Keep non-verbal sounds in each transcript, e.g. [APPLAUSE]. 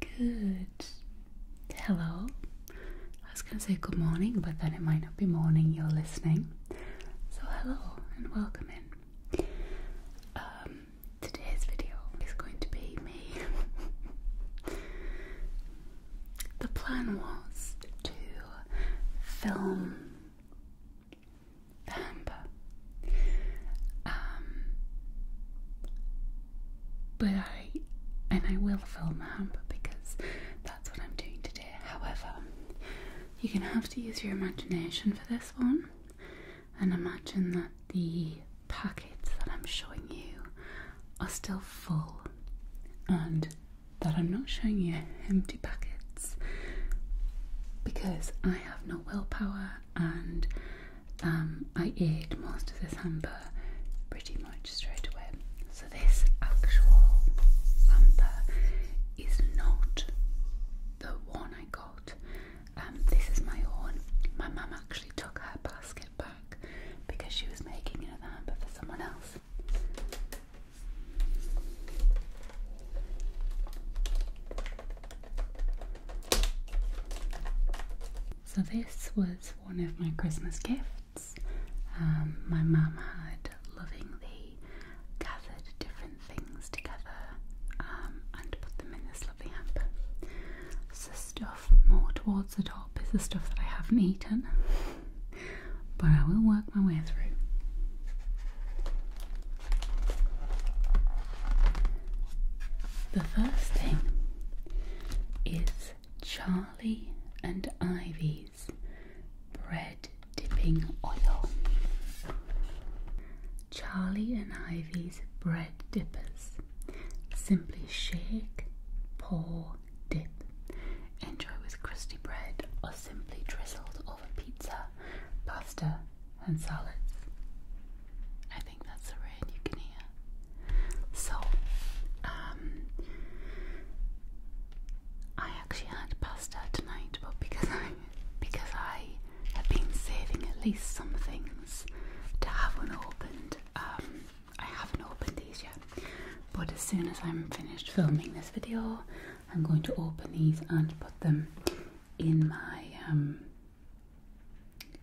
Good. Hello. I was going to say good morning, but then it might not be morning you're listening. So, hello and welcome in. Um, today's video is going to be me. [LAUGHS] the plan was to film Amber but I and I will film my because that's what I'm doing today. However, you can have to use your imagination for this one and imagine that the packets that I'm showing you are still full and that I'm not showing you empty packets because I have no willpower and um, I ate most of this hamper pretty much straight away. So this actual hamper is not the one I got. Um, this is my own. My mum actually took her basket back because she was making another hamper for someone else. So, this was one of my Christmas gifts. Um, my mum had lovingly gathered different things together um, and put them in this lovely hamper. So, stuff more towards the top is the stuff that I haven't eaten, but I will work my way through. The first thing is Charlie and Ivy's bread dipping oil. Charlie and Ivy's bread dippers. Simply shake, pour, dip. Enjoy with crusty bread or simply drizzled over pizza, pasta, and solids. I think that's the red you can hear. So, um, I actually had pasta tonight, but because I because I have been saving at least some things to have unopened, um, I haven't opened these yet. But as soon as I'm finished filming this video, I'm going to open these and put them in my um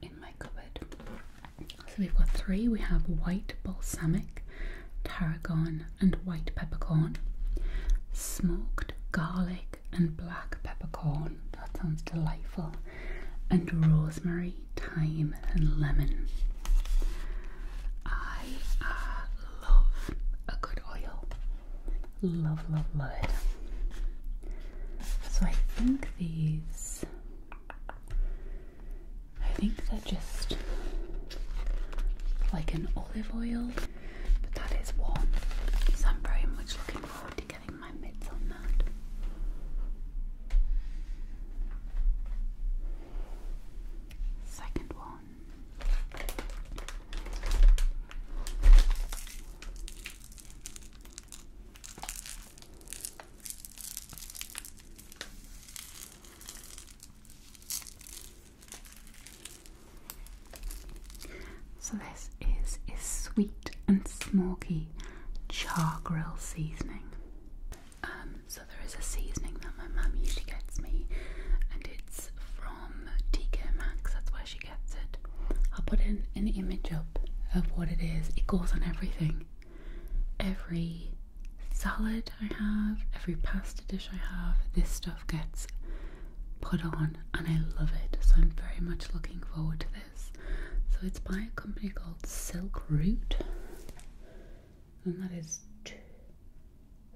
in my cupboard. So we've got three. We have white balsamic, tarragon, and white peppercorn, smoked garlic, and black peppercorn. That sounds delightful. And rosemary, thyme, and lemon. I uh, love a good oil. Love, love, love it. So I think these. I think they're just like an olive oil, but that is warm. So I'm very much looking forward to getting my mitts on that. Second one. So this is is sweet and smoky char grill seasoning. Um, so there is a seasoning that my mum usually gets me, and it's from TK Maxx. That's where she gets it. I'll put in an image up of what it is. It goes on everything. Every salad I have, every pasta dish I have, this stuff gets put on and I love it. So I'm very much looking forward to this. So it's by a company called Silk Root. And that is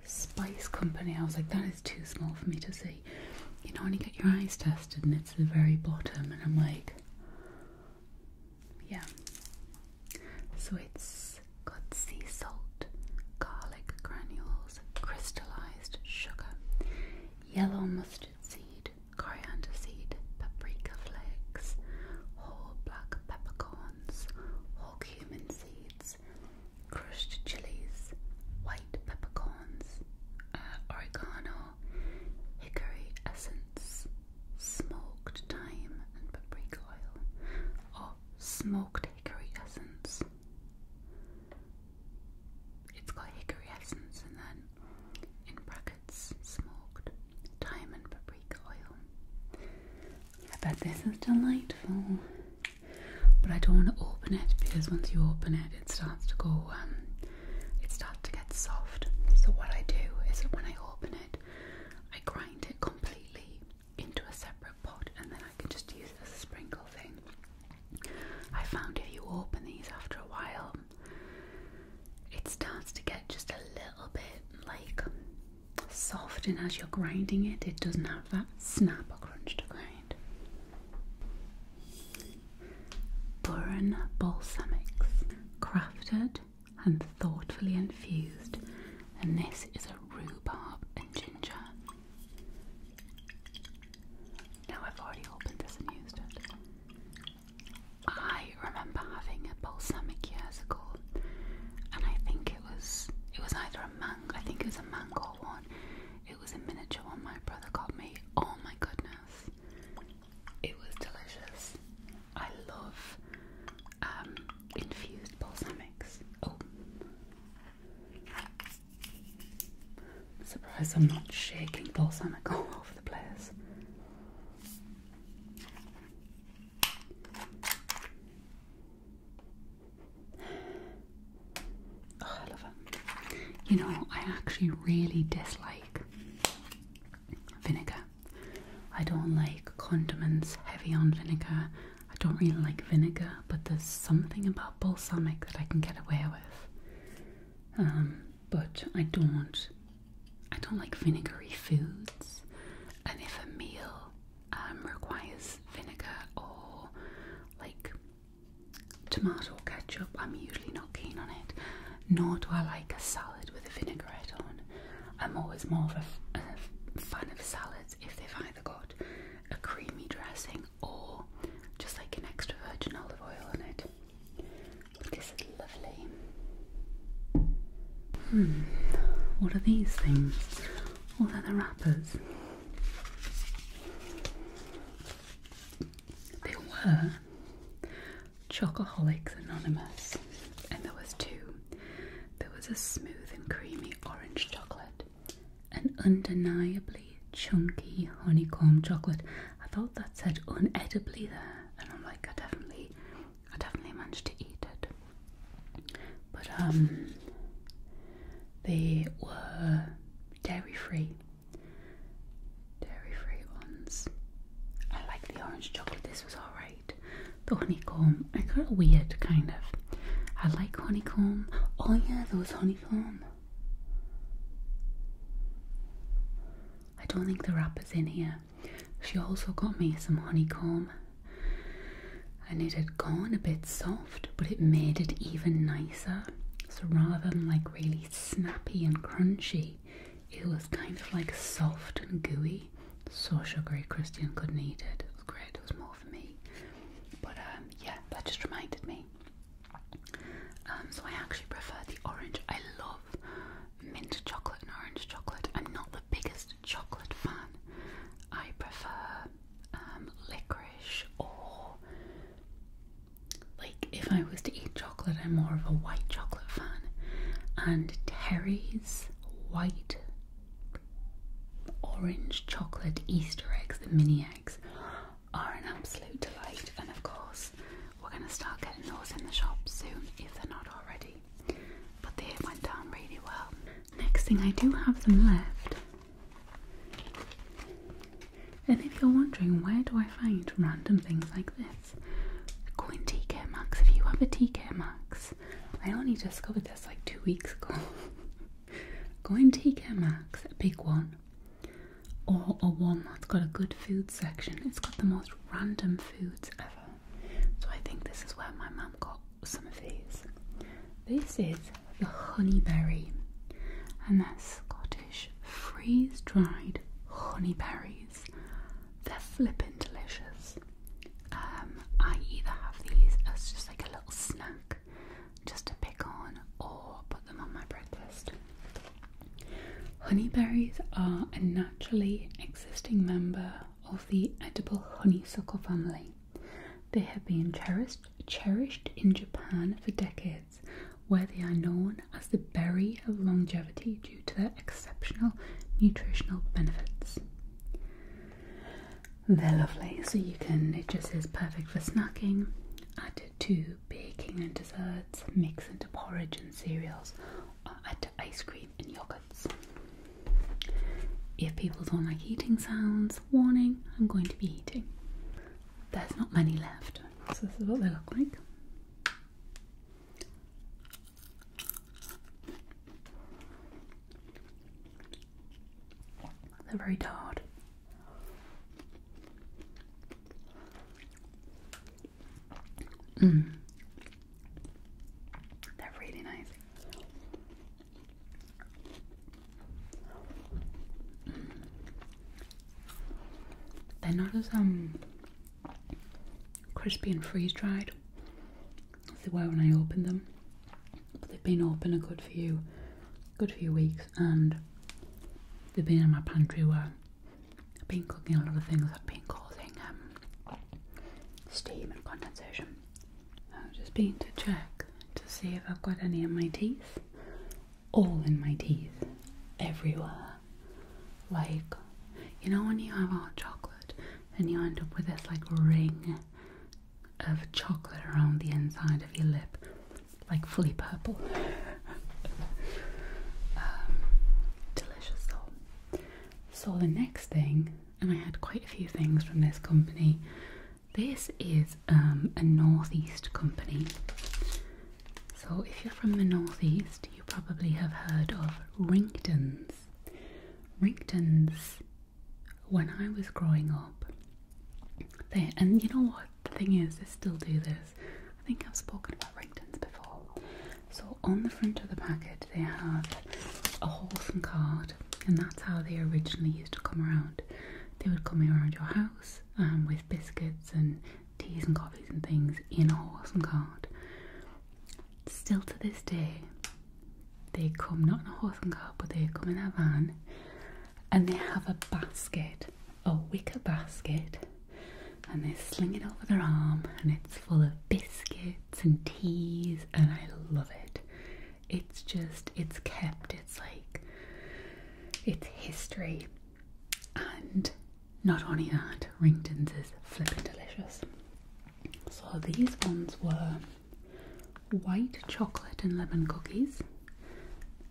Spice Company. I was like, that is too small for me to see. You know, when you get your eyes tested and it's the very bottom, and I'm like, yeah. So it's got sea salt, garlic granules, crystallized sugar, yellow mustard seed, coriander seed, paprika flakes, whole black peppercorns, whole cumin seeds, crushed chilies, white peppercorns. Uh, oregano, hickory essence, smoked thyme and paprika oil, or smoked hickory essence. It's got hickory essence and then in brackets smoked thyme and paprika oil. I bet this is delightful but I don't want to open it because once you open it, it starts to go, um, it starts to get soft. So, what I do is that when I open it, I grind it completely into a separate pot and then I can just use it as a sprinkle thing. I found if you open these after a while, it starts to get just a little bit like soft, and as you're grinding it, it doesn't have that snap or crunch to grind. Burren balsamics, crafted and thoughtfully infused, and this is a rhubarb and ginger. Now I've already opened this and used it. I remember having a balsamic years ago, and I think it was it was either a mango. I think it was a mango one, it was a miniature one my brother got me. Oh my goodness. It was delicious. I love um, infused balsamics. Oh. I'm surprised I'm not shaking balsamic all over the place. You know, I actually really dislike vinegar. I don't like condiments heavy on vinegar. I don't really like vinegar, but there's something about balsamic that I can get away with. Um, but I don't. I don't like vinegary foods. And if a meal um, requires vinegar or like tomato ketchup, I'm usually not keen on it, nor do I like a salad with a vinaigrette on. I'm always more of a, fan of salads if they've either got a creamy dressing or just like an extra virgin olive oil on it. This is lovely. Hmm, what are these things? Oh, they're the wrappers. They were Chocoholics Anonymous, and there was two. There was a smooth and creamy orange chocolate, an undeniably chunky honeycomb chocolate. I thought that said unedibly there, and I'm like, I definitely, I definitely managed to eat it but um, they were dairy free, dairy free ones. I like the orange chocolate. This was alright. The honeycomb, I got a weird kind of. I like honeycomb. Oh yeah, there was honeycomb. I don't think the wrapper's in here. She also got me some honeycomb and it had gone a bit soft but it made it even nicer. So rather than like really snappy and crunchy, it was kind of like soft and gooey. So sugary, Christian couldn't eat it. It was great, it was more for me. But um, yeah, that just reminded me. Um, so I actually prefer the orange. I love mint chocolate and orange chocolate. I'm not the biggest chocolate fan. I prefer um, licorice or like if I was to eat chocolate, I'm more of a white chocolate fan. And Terry's white orange chocolate Easter eggs, the mini eggs, are an absolute delight. And of course, we're going to start getting those in the shop soon if they're not already. But they went down really well. Next thing, I do have them left. And if you're wondering where do I find random things like this, go into TK Maxx. If you have a TK Maxx, I only discovered this like two weeks ago. [LAUGHS] go into TK Maxx, a big one, or a one that's got a good food section. It's got the most random foods ever. So I think this is where my mum got some of these. This is the honeyberry, and they're Scottish freeze dried honeyberries. They're flippin' delicious. Um, I either have these as just like a little snack just to pick on or put them on my breakfast. Honeyberries are a naturally existing member of the edible honeysuckle family. They have been cherished, in Japan for decades, where they are known as the berry of longevity due to their exceptional nutritional benefits. They're lovely, so you can, it just is perfect for snacking, added to baking and desserts, mix into porridge and cereals, add to ice cream and yogurts. If people don't like eating sounds, warning, I'm going to be eating. There's not many left, so this is what they look like. They're very hard. Mm. They're really nice. They're not as um crispy and freeze dried as they were when I opened them, but they've been open a good few, good few weeks, and they've been in my pantry where I've been cooking a lot of things i have been causing um, steam and condensation. I'm just being to check to see if I've got any in my teeth. All in my teeth. Everywhere. Like, you know when you have hot chocolate and you end up with this like ring of chocolate around the inside of your lip, like fully purple. [LAUGHS] Um, delicious though. So the next thing and I had quite a few things from this company. This is um, a northeast company. So if you're from the northeast, you probably have heard of Ringtons. Ringtons, when I was growing up, they and you know what the thing is, they still do this. I think I've spoken about Ringtons before. So on the front of the packet, they have a wholesome card, and that's how they originally used to come around. They would come around your house um, with biscuits and teas and coffees and things in a wholesome card. Still to this day, they come not in a wholesome card, but they come in a van, and they have a basket, a wicker basket. And they sling it over their arm, and it's full of biscuits and teas, and I love it it's just it's kept it's like it's history and not only that Rington's is flipping delicious so these ones were white chocolate and lemon cookies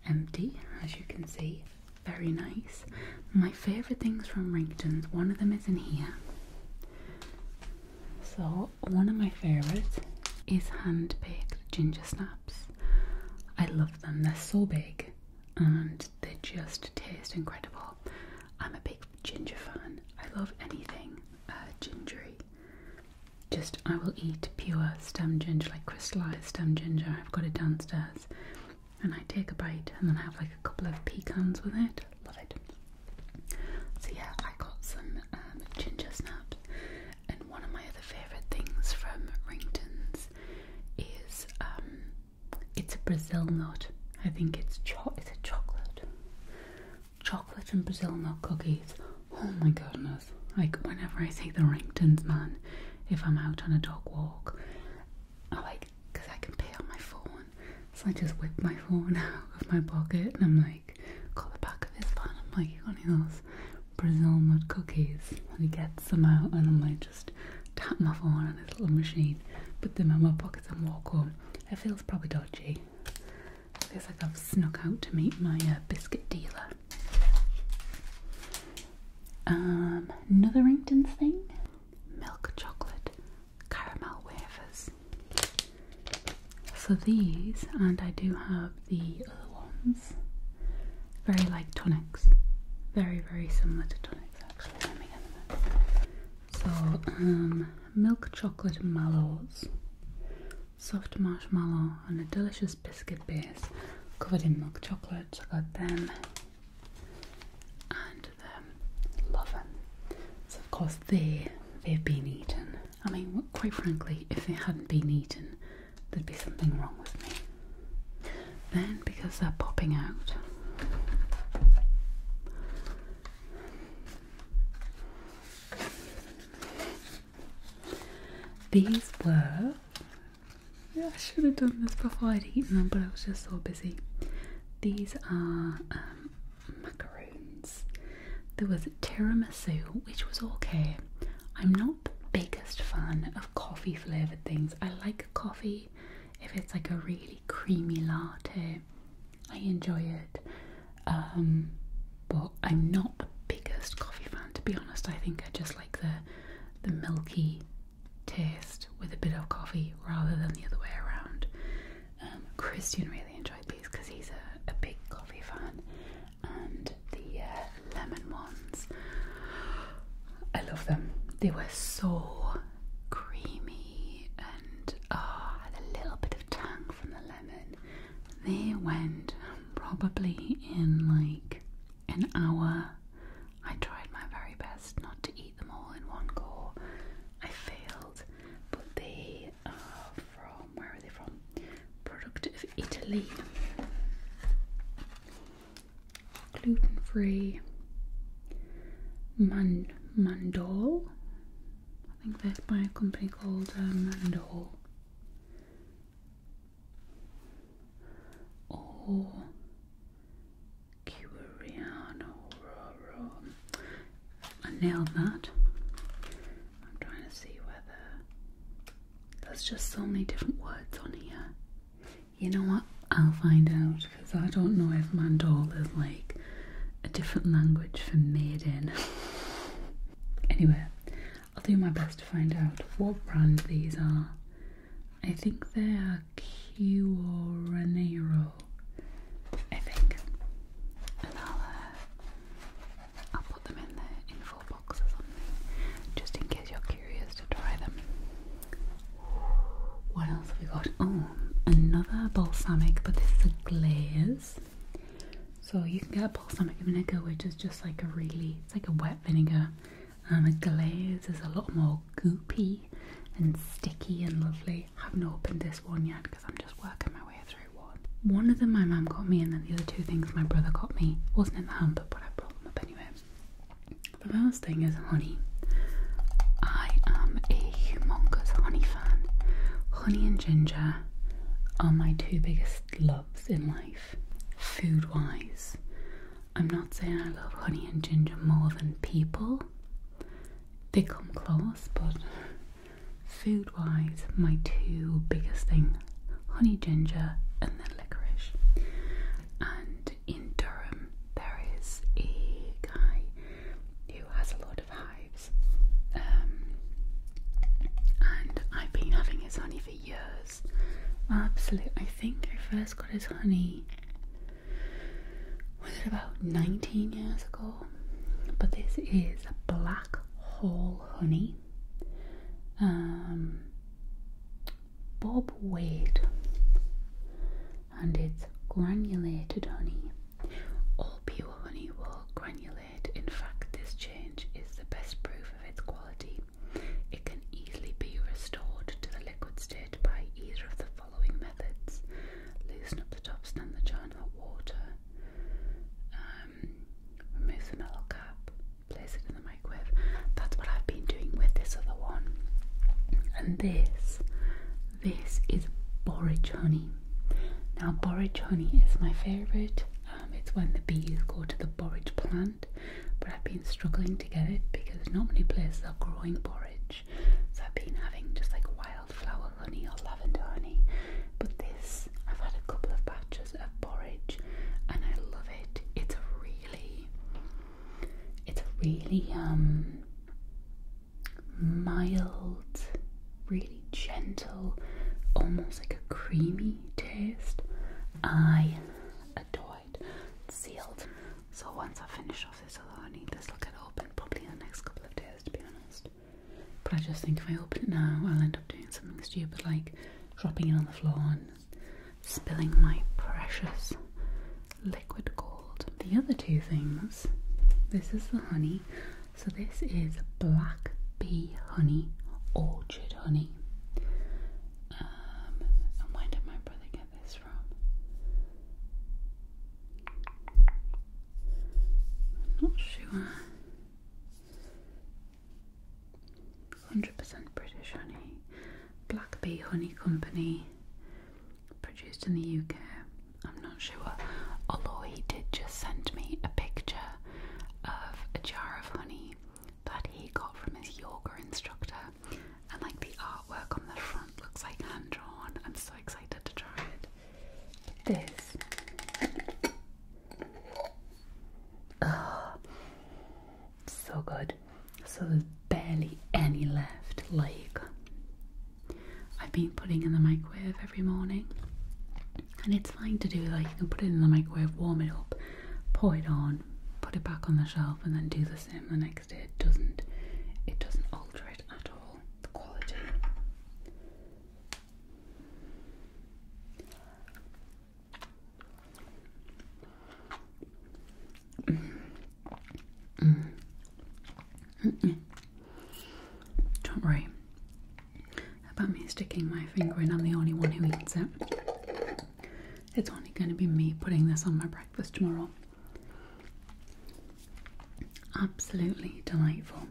empty as you can see very nice my favorite things from Rington's one of them is in here so one of my favorites is hand baked ginger snaps. I love them. They're so big and they just taste incredible. I'm a big ginger fan. I love anything uh, gingery. Just I will eat pure stem ginger, like crystallized stem ginger. I've got it downstairs, and I take a bite, and then I have like a couple of pecans with it. Love it. So yeah, I got some um, ginger snaps, and one of my other favourite things from Ringtons is um, it's a Brazil nut. I think it's cho it's a chocolate, chocolate and Brazil nut cookies. Oh my goodness! Like whenever I see the Ringtons, man, if I'm out on a dog walk, I like because I can pay on my phone so I just whip my phone [LAUGHS] out of my pocket and I'm like, got the back of his phone. I'm like, you got any of those Brazil nut cookies? And he gets them out and I'm like, just tap my phone on his little machine, put them in my pockets and walk home. It feels probably dodgy. feels like I've snuck out to meet my uh, biscuit dealer. Um, another Rington's thing milk chocolate caramel wafers. So these, and I do have the other ones, very like tonics. Very, very similar to tonics actually. So, um, milk chocolate malts, soft marshmallow, and a delicious biscuit base covered in milk chocolate. So I got them. And um, loving. So of course they they've been eaten. I mean, quite frankly, if they hadn't been eaten, there'd be something wrong with me. Then because they're popping out. These were. Yeah, I should have done this before I'd eaten them, but I was just so busy. These are um, macaroons. There was tiramisu, which was okay. I'm not the biggest fan of coffee flavoured things. I like coffee if it's like a really creamy latte. I enjoy it. Um, but I'm not the biggest coffee fan to be honest. I think I just like the the milky taste with a bit of coffee rather than the other way around. Um, Christian really enjoyed these because he's a, big coffee fan, and the uh, lemon ones, I love them. They were so creamy and oh, had a little bit of tang from the lemon. They went probably in like an hour. I tried my very best not to eat them all in one go. I failed but they are from where are they from? Product of Italy, gluten free. Man Mandol, I think that's by a company called uh, Mandol. Or Curiano Roro. I nailed that. I'm trying to see whether there's just so many different words on here. You know what? I'll find out because I don't know if mandol is like a different language for maiden. anyway, I'll do my best to find out what brand these are. I think they are Cuoranero. I think. And I'll, uh, I'll put them in the info box just in case you're curious to try them. What else have we got? Oh, another balsamic, but this is a glaze. So you can get balsamic vinegar, which is just like a really, it's like a wet vinegar. and um, a glaze is a lot more goopy and sticky and lovely. haven't opened this one yet because I'm just working my way through one. One of them my mum got me, and then the other two things my brother got me. Wasn't in the hamper, but I brought them up anyway. The first thing is honey. I am a humongous honey fan. Honey and ginger are my two biggest loves in life, food wise. I'm not saying I love honey and ginger more than people, they come close, but food wise, my two biggest thing honey ginger and then licorice. And in Durham, there is a guy who has a lot of hives, um, and I've been having his honey for years. Absolutely, I think I first got his honey was it about 19 years ago? But this is black hole honey. Um, Bob Wade, and it's granulated honey. All pure honey will granulate. In fact, this change is the best proof of its quality. It can easily be restored to the liquid state by either of the following methods loosen up the top, stand the jar in hot water, um, remove the metal cap, place it in the microwave. That's what I've been doing with this other one. And this, this is borage honey. Now, borage honey is my favourite. Um, it's when the bees go to the borage plant, but I've been struggling to get it because not many places are growing borage. So I've been having just like wildflower honey or lavender honey. But this, I've had a couple of batches of porridge and I love it. It's really, it's really um mild, really gentle, almost like a creamy taste. I adore it. Sealed. So once I finish off houses, although I need this will get open probably in the next couple of days to be honest. But I just think if I open it now, I'll end up doing something stupid like dropping it on the floor and spilling my precious liquid gold. The other two things this is the honey, so this is black bee honey, orchard honey. Um, and why did my brother get it is from. I'm not sure. 100% British honey. Black Bee Honey Company. Produced in the UK. I'm not sure. Although he did just send me a picture of a jar of honey that he got from his yoga instructor and like the artwork on the front looks like hand drawn. I'm so excited to try it. This. Oh, so good. So there's barely any left. Like, I've been putting in the microwave every morning, and it's fine to do like you can put it in the microwave, warm it up, pour it on, put it back on the shelf, and then do the same the next it doesn't it doesn't alter it at all, the quality. Mm. Mm. Don't worry about me sticking my finger in, I'm the only one who eats it. It's only going to be me putting this on my breakfast tomorrow. Absolutely delightful.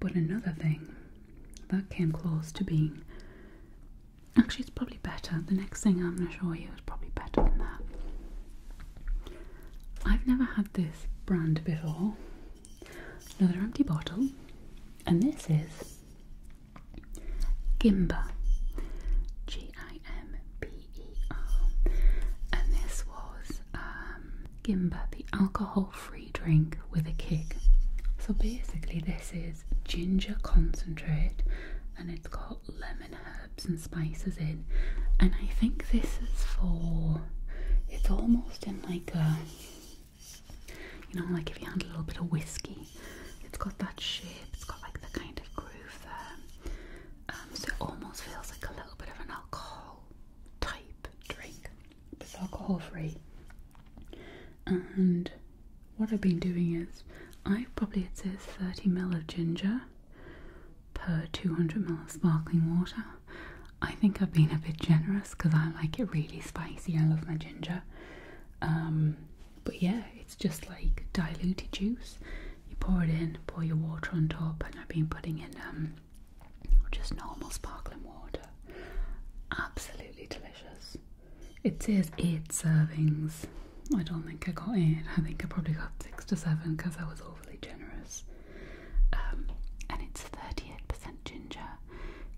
But another thing that came close to being actually, it's probably better. The next thing I'm going to show you is probably better than that. I've never had this brand before. Another empty bottle, and this is Gimba, G I M B E R, and this was um, Gimba, the alcohol free drink with a kick. So basically, this is ginger concentrate and it's got lemon herbs and spices in, and I think this is for it's almost in like a you know, like if you had a little bit of whiskey it's got that shape, it's got like the kind of groove there. Um, so it almost feels like a little bit of an alcohol type drink. It's alcohol free. And what I've been doing is I probably it says 30 ml of ginger per 200 ml of sparkling water. I think I've been a bit generous because I like it really spicy. I love my ginger. Um, but yeah, it's just like diluted juice. You pour it in, pour your water on top, and I've been putting in um, just normal sparkling water. Absolutely delicious. It says eight servings. I don't think I got eight. I think I probably got six to seven because I was overly generous. Um, and it's 38% ginger,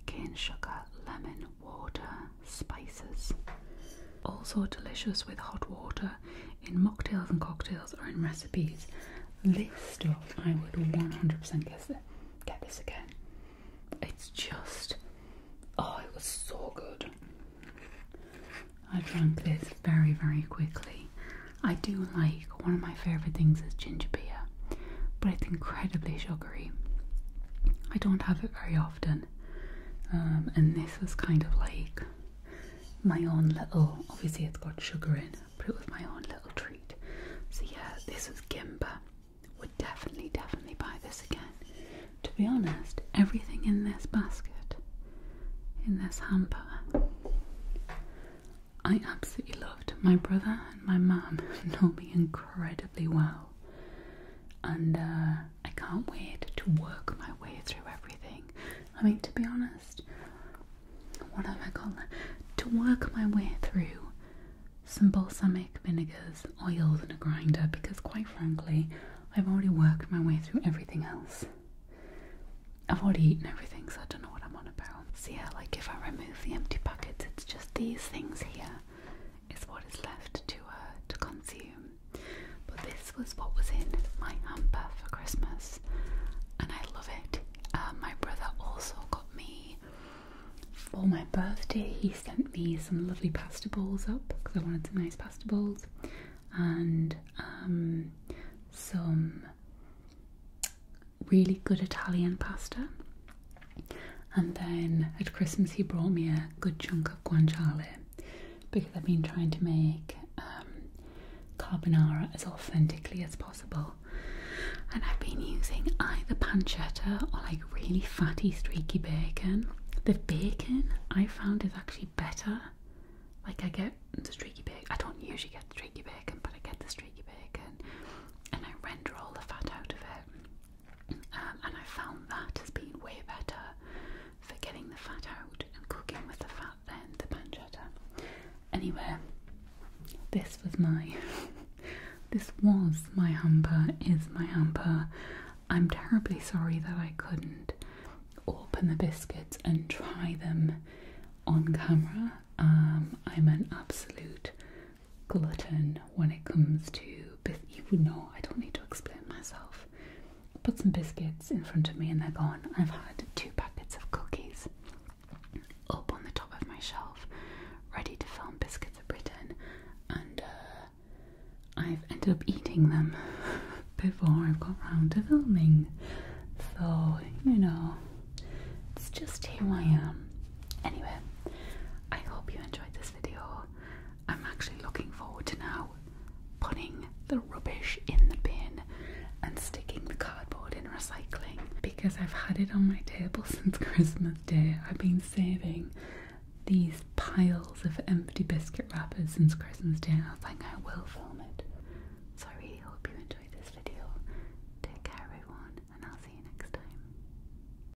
cane sugar, lemon, water, spices. Also delicious with hot water in mocktails and cocktails or in recipes. This stuff I would 100% Get this again. It's just oh, it was so good. I drank this very, very quickly. I do like one of my favourite things is ginger beer, but it's incredibly sugary. I don't have it very often, um, and this was kind of like my own little, obviously it's got sugar in, but it was my own little treat. So yeah, this was Gimba. Would definitely, definitely buy this again. To be honest, everything in this basket, in this hamper, I absolutely loved. My brother and my mum [LAUGHS] know me incredibly well. And uh, I can't wait to work my way through everything. I mean, to be honest, what have I got To work my way through some balsamic vinegars, oils, and a grinder because, quite frankly, I've already worked my way through everything else. I've already eaten everything, so I don't know what I'm on about. See, like if I remove the empty buckets, it's just these things here is what is left to her uh, to consume. But this was what was in my hamper for Christmas, and I love it. Uh, my brother also got me for my birthday. He sent me some lovely pasta balls up because I wanted some nice pasta balls and um, some really good Italian pasta. And then at Christmas, he brought me a good chunk of guanciale because I've been trying to make um, carbonara as authentically as possible. And I've been using either pancetta or like really fatty, streaky bacon. The bacon I found is actually better. Like I get the streaky bacon. I don't usually get the streaky bacon, but I get the streaky bacon, and I render all the fat out of it. Um, and I found that has been way better for getting the fat out and cooking with the fat than the pancetta. Anyway, this was my [LAUGHS] this was my hamper, is my hamper. I'm terribly sorry that I couldn't open the biscuits and try them on camera. Um, I'm an absolute glutton when it comes to you would know I don't need to explain myself. Put some biscuits in front of me and they're gone. I've had two packets of cookies up on the top of my shelf, ready to film biscuits of Britain, and uh, I've ended up eating them [LAUGHS] before I've got round to filming. So you know, it's just who I am. Anyway, I hope you enjoyed this video. I'm actually looking forward to now putting the rubbish in the bin and sticking the cardboard in recycling because I've had it on my table [LAUGHS] since Christmas Day. I've been saving these piles of empty biscuit wrappers since Christmas Day, and I think I will film it. So I really hope you enjoyed this video. Take care, everyone, and I'll see you next time.